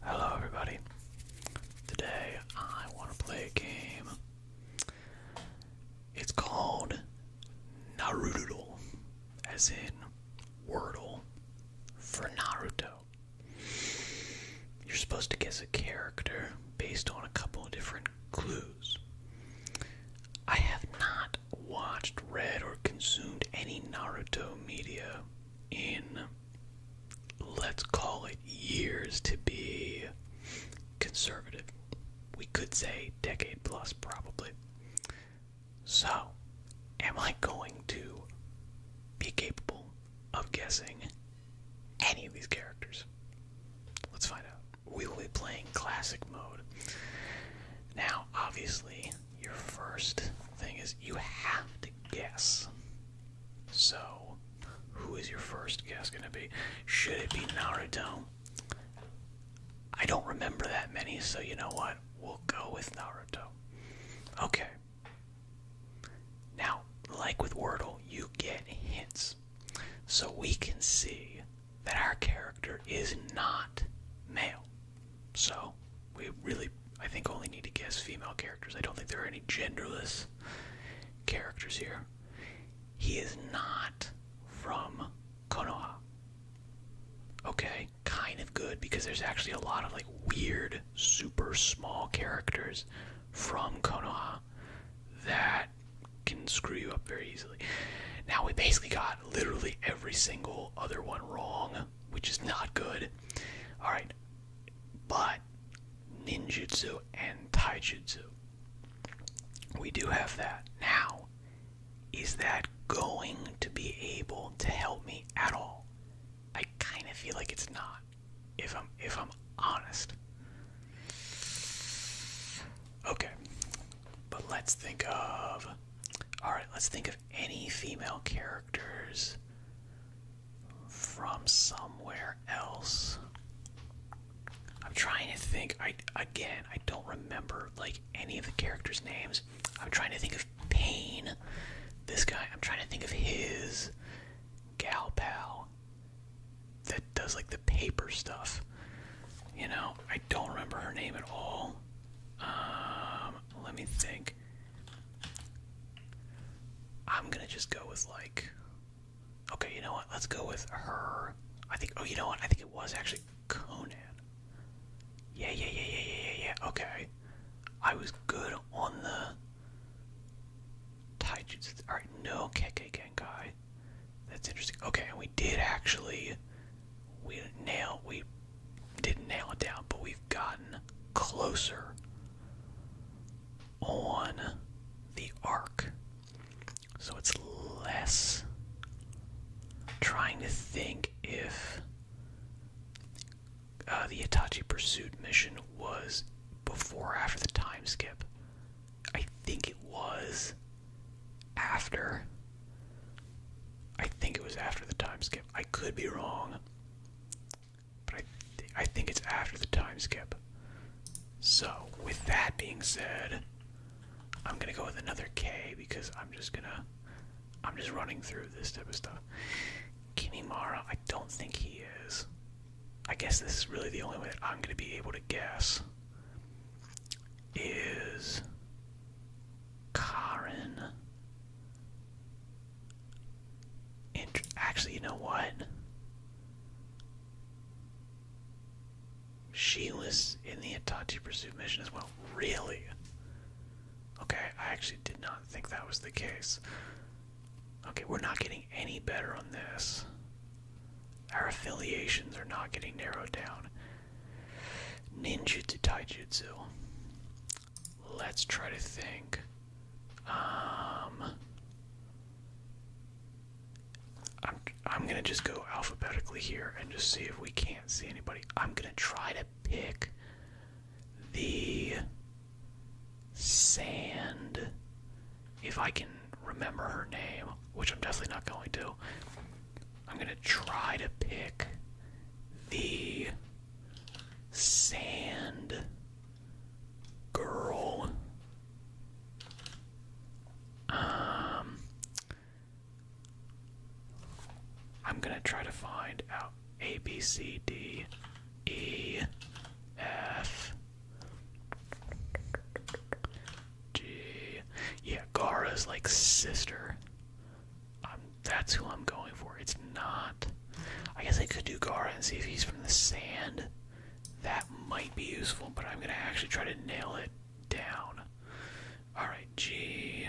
Hello, everybody. Today I want to play a game. It's called Naruto, as in Wordle for Naruto. You're supposed to guess a character based on a couple of different clues. I have not watched, read, or consumed any Naruto media in let's call it years to be conservative. We could say decade plus, probably. So, am I going to be capable of guessing any of these characters? Let's find out. We will be playing classic mode. Now, obviously, your first thing is you have to guess so, who is your first guess going to be? Should it be Naruto? I don't remember that many, so you know what? We'll go with Naruto. Okay. Now, like with Wordle, you get hints. So we can see that our character is not male. So we really, I think, only need to guess female characters. I don't think there are any genderless characters here. He is not from Konoha. Okay, kind of good because there's actually a lot of like weird, super small characters from Konoha that can screw you up very easily. Now we basically got literally every single other one wrong, which is not good. All right, but ninjutsu and taijutsu. We do have that. Now, is that going to be able to help me at all? I kind of feel like it's not. If I'm if I'm honest. Okay. But let's think of Alright, let's think of any female characters from somewhere else. I'm trying to think. I again, I don't remember like any of the characters' names. I'm trying to think of Pain. This guy. I'm trying to think of his gal pal that does like the paper stuff. You know, I don't remember her name at all. Um, let me think. I'm gonna just go with like. Okay, you know what? Let's go with her. I think. Oh, you know what? I think it was actually Conan. Yeah, yeah, yeah, yeah, yeah, yeah, Okay, I was good on the. Taijutsu. All right, no Kekkei Genkai. That's interesting. Okay, and we did actually. We nail. We didn't nail it down, but we've gotten closer on the arc. So it's less trying to think if uh, the Itachi Pursuit mission was before or after the time skip. I think it was after. I think it was after the time skip. I could be wrong. But I, think it's after the time skip. So, with that being said, I'm gonna go with another K because I'm just gonna. I'm just running through this type of stuff. Kimimara, I don't think he is. I guess this is really the only way that I'm gonna be able to guess. Is. Karin actually, you know what? She was in the Itachi pursuit mission as well. Really? Okay, I actually did not think that was the case. Okay, we're not getting any better on this. Our affiliations are not getting narrowed down. Ninjutsu Taijutsu. Let's try to think. Um, I'm I'm gonna just go alphabetically here and just see if we can't see anybody. I'm gonna try to pick the sand if I can remember her name, which I'm definitely not going to. I'm gonna try to pick the sand girl. Um, I'm gonna try to find out A, B, C, D, E, F, G. Yeah, Gara's like sister. Um, that's who I'm going for. It's not I guess I could do Gara and see if he's from the sand. That might be useful, but I'm gonna actually try to nail it down. Alright, G.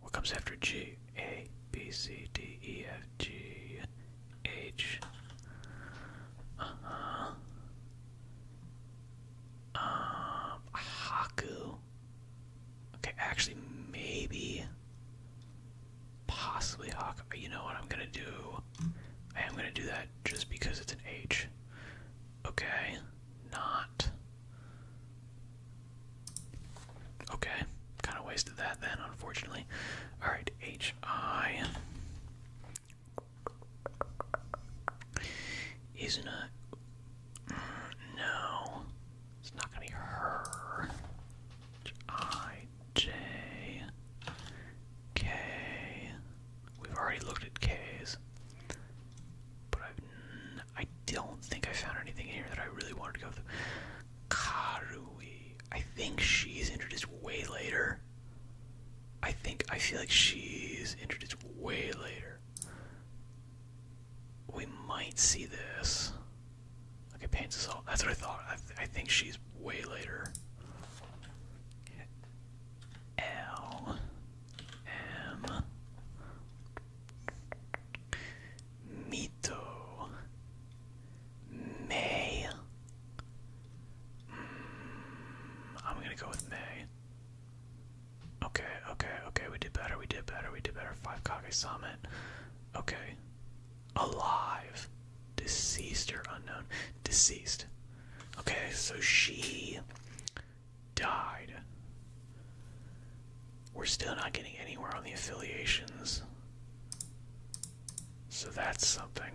What comes after G? A, B, C, D, E, F, G, H. Uh huh. Um, Haku. Okay, actually, maybe. Possibly Hawkeye. You know what I'm gonna do? I am gonna do that just because it's an H. Okay, not. Okay, kind of wasted that then, unfortunately. Alright, HI isn't it? No. It's not gonna be her. I J K. We've already looked at K's, but I've, I i do not think I found anything here that I really wanted to go through. Karui. I think she's introduced way later. I think I feel like she's introduced way later. We might see this. Okay, Pain's all. That's what I thought. I, think she's way later. L. M. Mito. May. Mm, I'm gonna go with May. Okay, okay, okay, we did better, we did better, we did better. Five Kage Summit. Okay, Alive. Deceased or unknown. Deceased. Okay, so she died. We're still not getting anywhere on the affiliations. So that's something.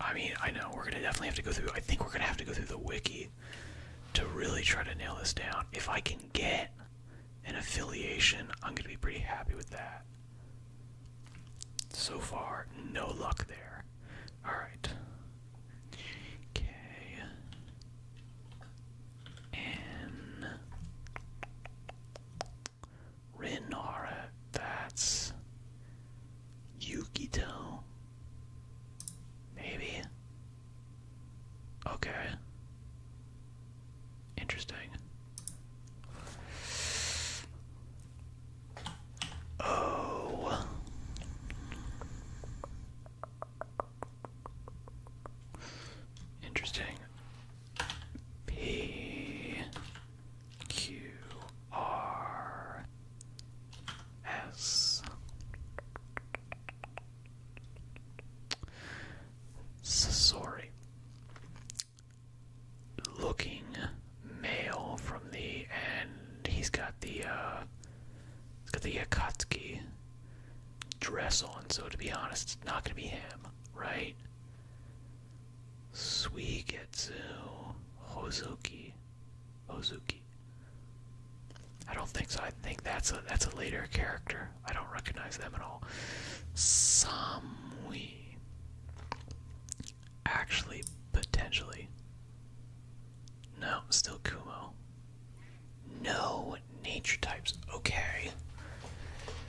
I mean, I know we're gonna definitely have to go through. I think we're gonna have to go through the wiki to really try to nail this down. If I can get an affiliation, I'm going to be pretty happy with that. So far, no luck there. Alright. Okay. Renara, that's. Yukito. Maybe. Okay. Interesting. Oh. Interesting. P Q R S Sasori. Looking male from the end. he's got the uh he's got the Akatsuki dress on, so to be honest, it's not gonna be him, right? Suigetsu Hozuki. Hozuki. I don't think so. I think that's a that's a later character. I don't recognize them at all. Samui. Actually, potentially. No, still Kumo. No nature types. Okay.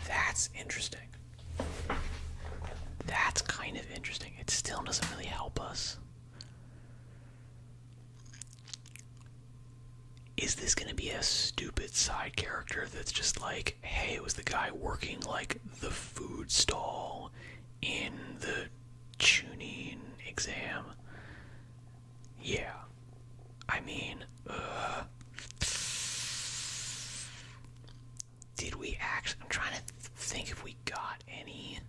That's interesting. That's kind of interesting. It still doesn't really help us. Is this gonna be a stupid side character that's just like, hey, it was the guy working like the food stall in the tuning exam? Yeah. I mean, uh. Did we actually. I'm trying to think if we got any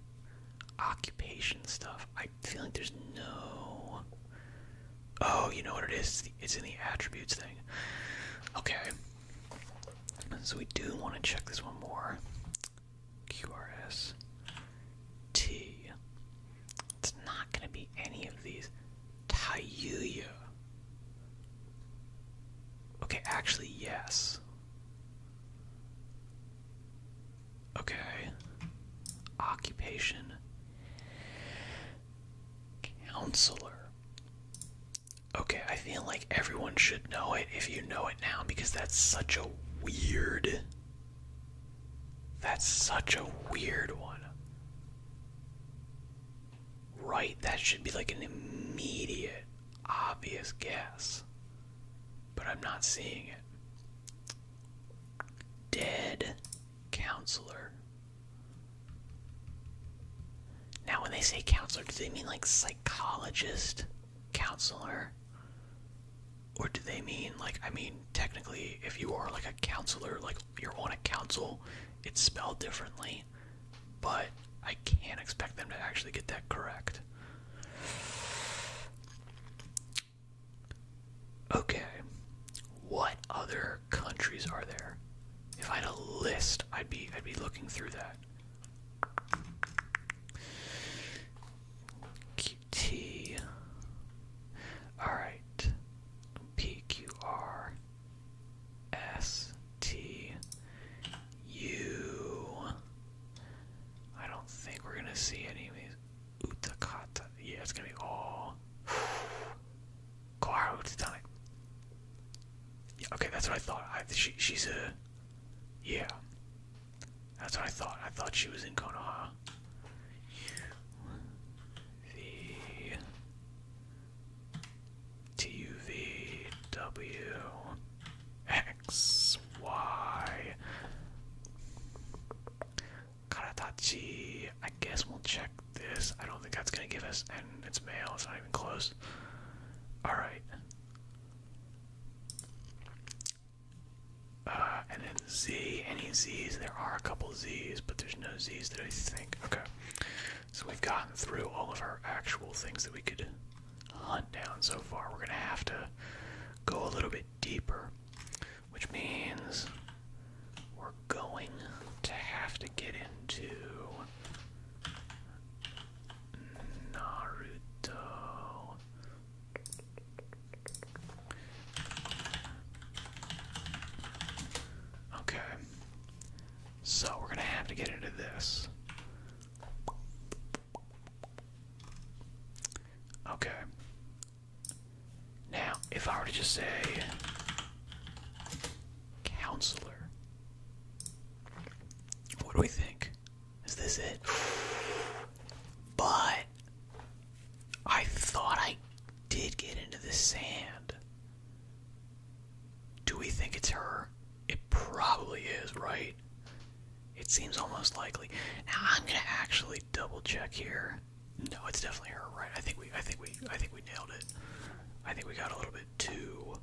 occupation stuff. I I feel like there's no. Oh, you know what it is? It's, in the attributes thing. Okay. So we do want to check this one more. QRS T. It's not going to be any of these. Tayuya. Okay, actually, yes. Okay. Occupation. Counselor. Okay, I feel like everyone should know it if you know it now because that's such a weird. That's such a weird one. Right, that should be like an immediate, obvious guess. But I'm not seeing it. Dead counselor. Now, when they say counselor, do they mean like psychologist counselor? Or do they mean like, I mean, technically, if you are like a counselor, like you're on a council, it's spelled differently. But I can't expect them to actually get that correct. Okay, what other countries are there? If I had a list, I'd be I'd be looking through that. QT. All right. P Q R S T U. I don't think we're gonna see any of these. Utakata. Yeah, it's gonna be all Koharu Titanic. Yeah, okay, that's what I thought. I, she, she's a. Yeah. That's what I thought. I thought she was in Konoha. The. T U V W X Y Karatachi. I guess we'll check this. I don't think that's gonna give us. And it's male. It's not even close. All right. Uh, and then Z. Any Z's? There are a couple Z's, but there's no Z's that I think. Okay. So we've gotten through all of our actual things that we could hunt down so far. We're gonna have to go a little bit deeper which means we're going to have to get into Naruto. Okay. So we're going to have to get into this. Okay. Now, if I were to just say counselor, what do we think? Is this it? But I thought I did get into the sand. Do we think it's her? It probably is, right? It seems almost likely. Now I'm gonna actually double check here. No, it's definitely her, right? I think we, I think we, I think we nailed it. I think we got a little bit too.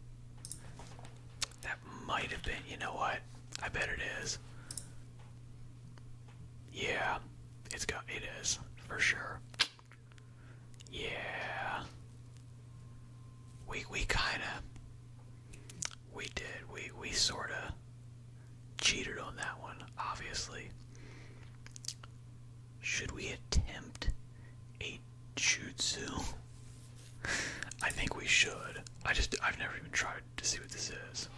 That might have been. You know what? I bet it is. Yeah, it's got. It is for sure. Yeah. We we kind of we did. We we sorta cheated on that one, obviously. Should we attempt a jutsu? I think we should. I just I've never even tried to see what this is.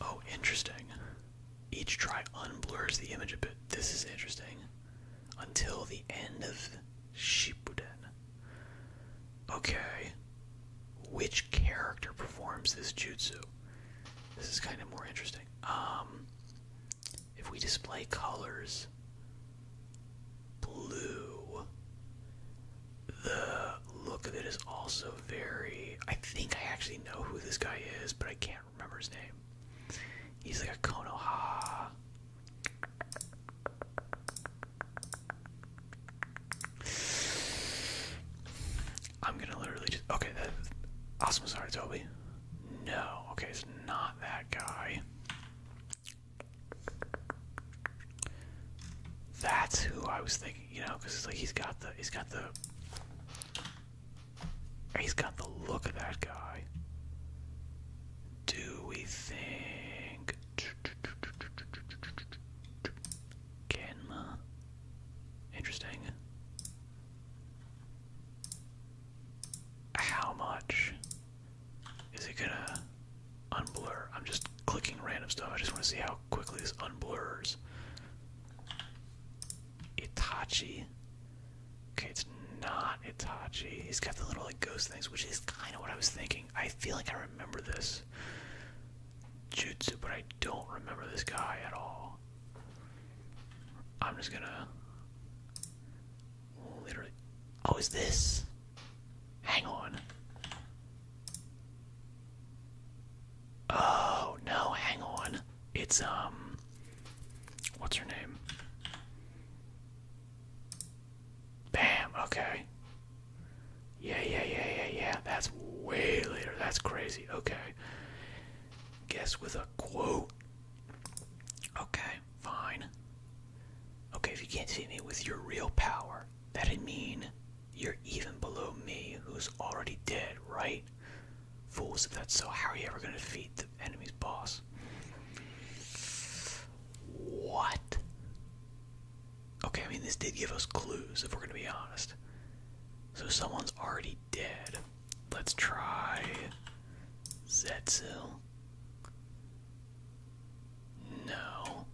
Oh, interesting. Each try unblurs the image a bit. This is interesting. Until the end of Shippuden. Okay which character performs this jutsu. This is kind of more interesting. Um, if we display colors, blue, the look of it is also very. I think I actually know who this guy is, but I can't remember his name. He's like a Konoha. I'm gonna literally just okay. Awesome sorry, Toby. No, okay, it's not that guy. That's who I was thinking, you know, because like he's got the he's got the he's got the look of that guy. Do we think? Kenma. Interesting. How much is it gonna unblur? I'm just clicking random stuff. I just want to see how quickly this unblurs. Itachi. Okay, it's not Itachi. He's got the little like ghost things, which is kind of what I was thinking. I feel like I remember this jutsu, but I don't remember this guy at all. I'm just gonna literally. Oh, is this? Hang on. Oh no, hang on. It's um, what's her name? Bam. Okay. Yeah, yeah, yeah, yeah, yeah. That's way later. That's crazy. Okay. Guess with a quote. Okay, fine. Okay, if you can't see me with your real power, that'd mean you're even below me, who's already dead, right? Fools, if that's so, how are you ever gonna defeat the enemy's boss? What? Okay, I mean, this did give us clues, if we're gonna be honest. So someone's already dead. Let's try Zetsil. No.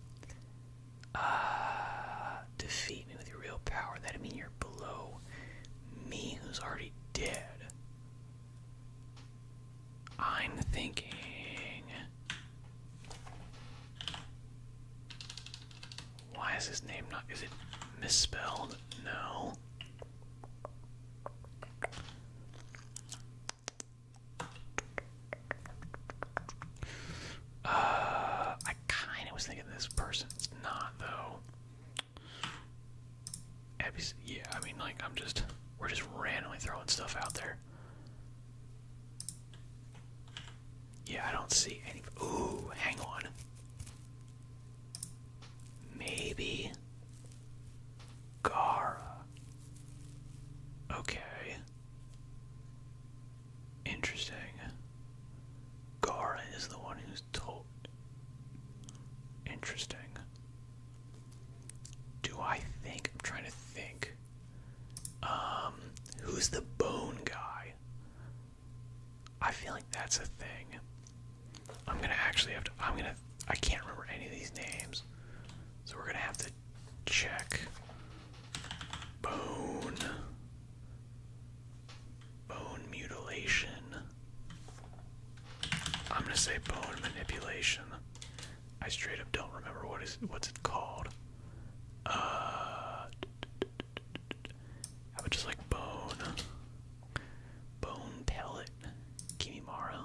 Ah, defeat me with your real power. That'd mean you're below me, who's already dead. I'm thinking. Why is his name not? Is it misspelled? No. Uh, I kind of was thinking this person. not though. Abby's, yeah, I mean, like I'm just we're just randomly throwing stuff out there. Yeah, I don't see any. Ooh, hang on. Maybe. Gara. Okay. Interesting. Gara is the one who's told. Interesting. Do I think? I'm trying to think. Um, who's the bone guy? I feel like that's a thing. I'm gonna actually have to. I'm gonna. I can't remember any of these names, so we're gonna have to check. Bone. Bone mutilation. I'm gonna say bone manipulation. I straight up don't remember what is what's it called. Uh, how about just like bone? Bone pellet. Kimimaro.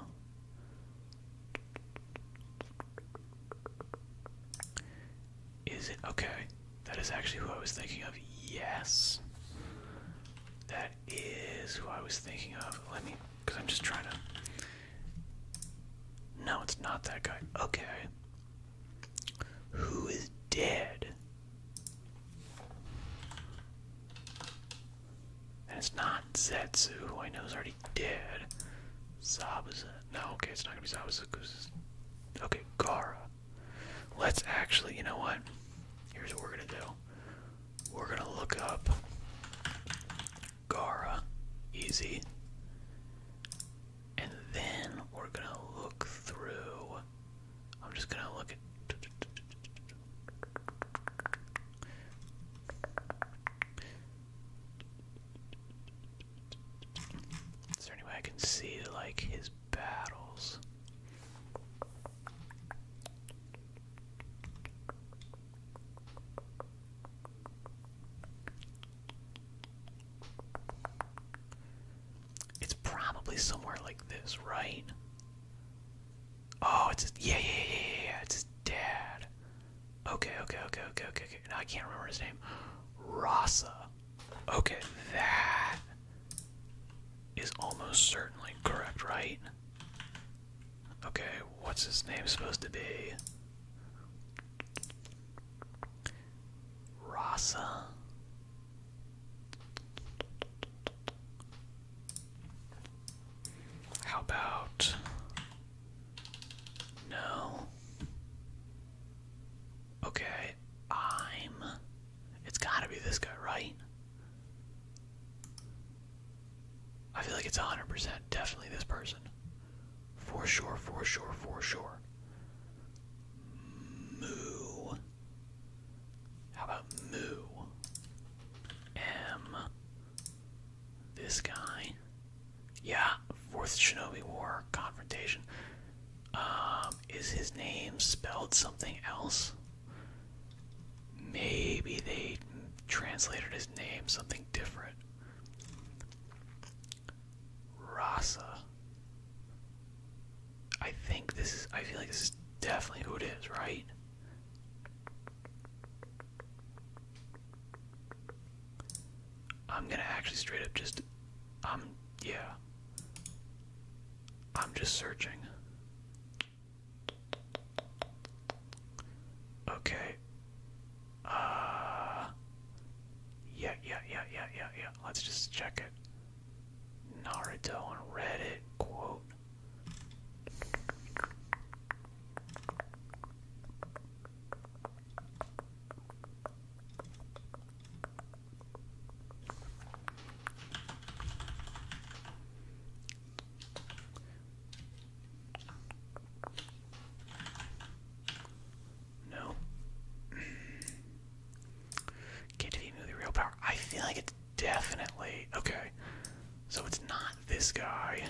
Is it okay? That is actually who I was thinking of. Yes. That is who I was thinking of. Let me, because I'm just trying to. No, it's not that guy. Okay. Who is dead? That's not Zetsu, who I know is already dead. Zabuza. No, okay, it's not gonna be Zabuza because. Okay, Gara. Let's actually, you know what? Here's what we're gonna do. We're gonna look up Gara. Easy. And then we're gonna look through. I'm just gonna look at. Is there any way I can see, like, his battles? It's probably somewhere like this, right? Oh, it's his, yeah, yeah, yeah, yeah, yeah. It's his dad. Okay, okay, okay, okay, okay, okay. Now I can't remember his name. Rasa. Okay, that is almost certainly correct, right? Okay, what's his name supposed to be? Rasa. How about no? Okay, I'm. It's gotta be this guy, right? I feel like it's 100% definitely this person. For sure, for sure, for sure. Moo. How about Moo? M. This guy. Yeah, Fourth Shinobi War confrontation. Um, is his name spelled something else? Maybe they translated his name something different. Rasa. I think this is, I feel like this is definitely who it is, right? I'm gonna actually straight up just, I'm, um, yeah. I'm just searching. Okay. Uh, yeah, yeah, yeah, yeah, yeah, yeah. Let's just check it. Naruto on Reddit quote. No. Can't you know the real power? I feel like it's definitely okay. So it's not this guy.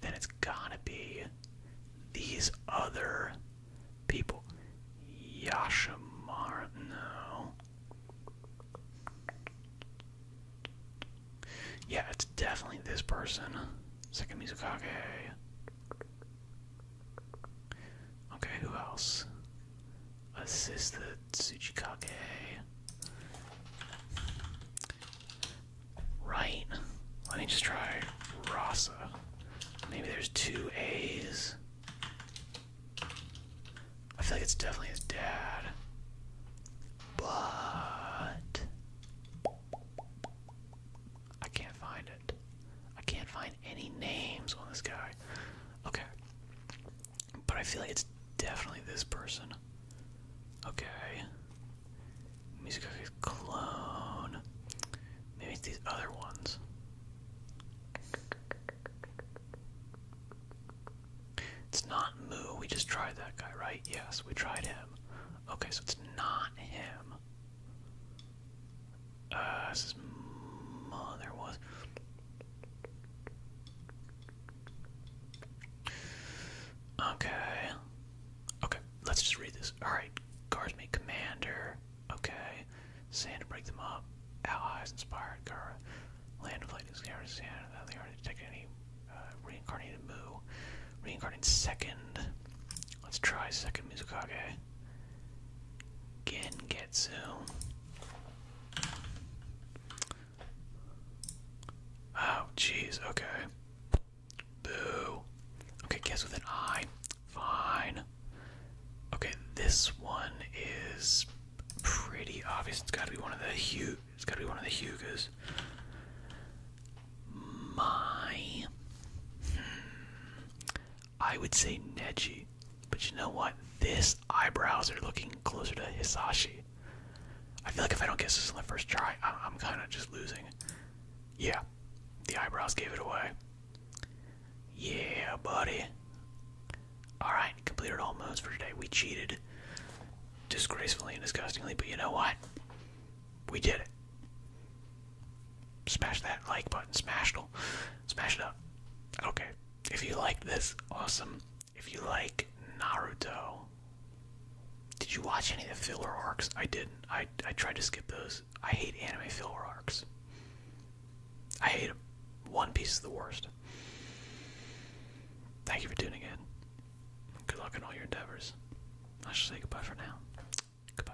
Then it's gotta be these other people. Yashimar no. Yeah, it's definitely this person. Second Mizukage. Okay, who else? Assist the Tsuchikage. Right. Let me just try Rasa. Maybe there's two A's. I feel like it's definitely his dad. But I can't find it. I can't find any names on this guy. Okay. But I feel like it's definitely this person. Okay. Music Cookie's clone. Maybe it's these other ones. It's not Moo. We just tried that guy, right? Yes, we tried him. Okay, so it's not him. Uh, his mother was. Okay. Okay, let's just read this. Alright, guardsman commander. Okay. Sand to break them up. Allies inspired Gara. Land of lightning scared sand without the art take any uh, reincarnated moo. Reincarnated second. Let's try second Mizukage. Gengetsu. Oh, jeez, okay. Boo. Okay, guess with an I. Fine. Okay, this one is pretty obvious. It's gotta be one of the Hu it's gotta be one of the Hugas. My hmm. I would say Neji. But you know what? This eyebrows are looking closer to Hisashi. I feel like if I don't guess this on the first try, I'm kind of just losing. Yeah, the eyebrows gave it away. Yeah, buddy. Alright, completed all for today. We cheated disgracefully and disgustingly, but you know what? We did it. Smash that like button. Smash it. Smash it up. Okay. If you like this, awesome. If you like Naruto, did you watch any of the filler arcs? I didn't. I I tried to skip those. I hate anime filler arcs. I hate them. One Piece is the worst. Thank you for tuning in. Good luck in all your endeavors. I should say goodbye for now. Goodbye.